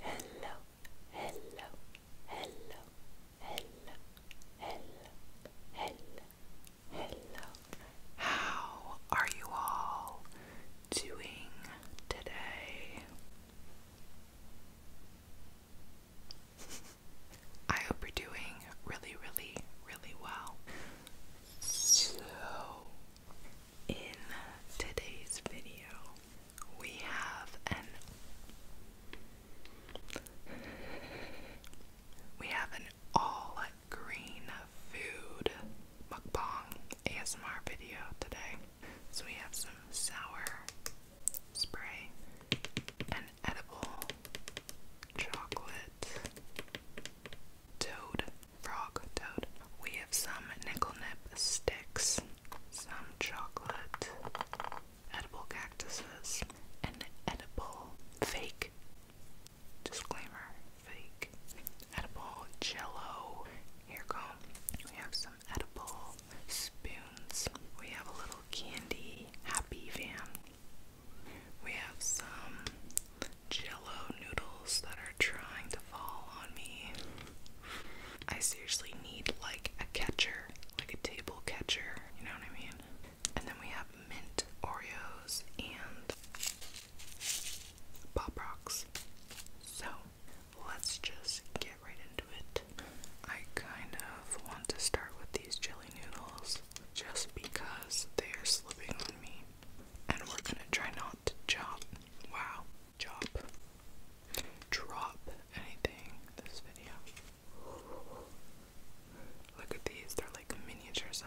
hello, hello, hello, hello, hello, hello, hello. How are you all doing today? I hope you're doing really, really, really well. So, in today's video, we have an we have an all green food mukbang ASMR video today. So we have some sour spray, and edible chocolate toad, frog, toad. We have some nickel nip sticks, some chocolate, edible cactuses, an edible fake. Disclaimer, fake. Edible jello. Here go. We have some edible spoons. We have a little candy happy van. We have some jello noodles that are trying to fall on me. I seriously need like a catcher, like a table catcher, you know what I mean? And then we have mint Oreos and Pop Rocks. So let's just get right into it. I kind of want to start with these jelly noodles just because they are slipping on me. And we're gonna try not to jump. Wow. Drop. Drop anything this video. Look at these, they're like miniature size.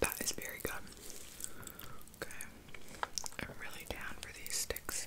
That is very good. Okay. I'm really down for these sticks.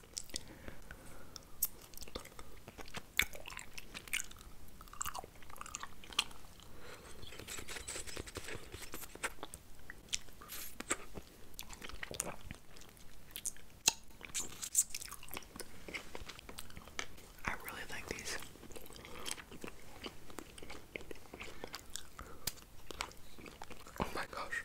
I really like these. Oh my gosh.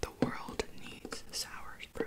The world needs sour spray.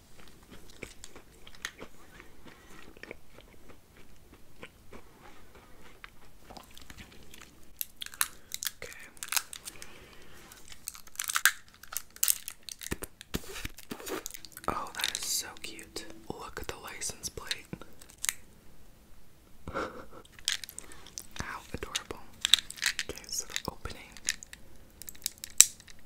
Okay. Oh, that is so cute. Look at the license plate. How adorable. Okay, so opening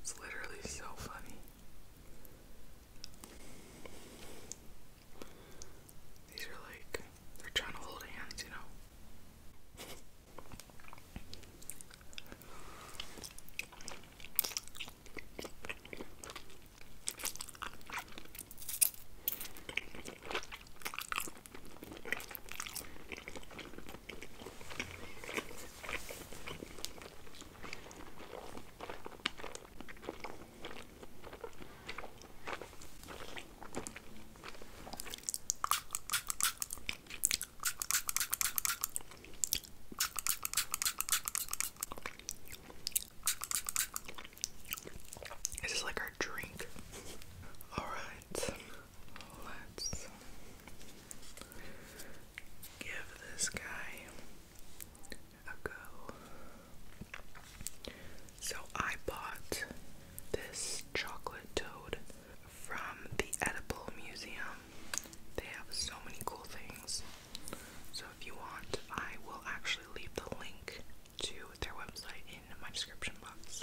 It's literally so funny. These are like, they're trying to hold hands, you know? This is like our drink. All right. Let's give this guy a go. So I bought this chocolate toad from the Edible Museum. They have so many cool things. So if you want, I will actually leave the link to their website in my description box.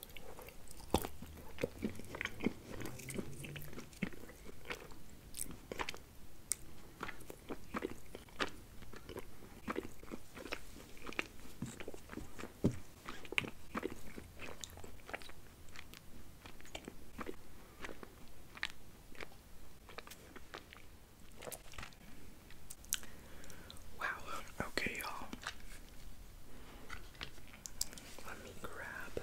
Wow, okay, y'all. Let me grab.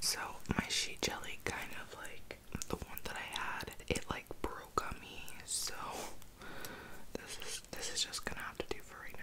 So my sheet jelly kind of like the one that I had, it like broke on me. So this is this is just gonna have to do for right now.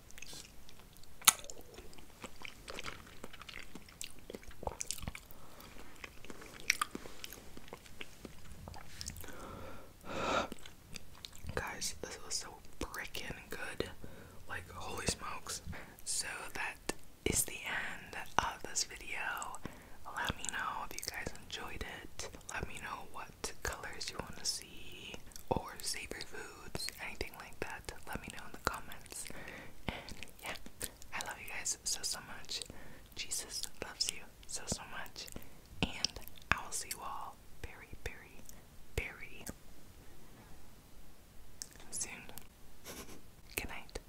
Guys, this was so freaking good. Like, holy smokes. So, that is the end of this video. Let me know if you guys enjoyed it. Let me know what colors you want to see or savory foods, anything like that, let me know in the comments. And yeah, I love you guys so so much. Jesus loves you so so much. And I will see you all very, very, very soon. Good night.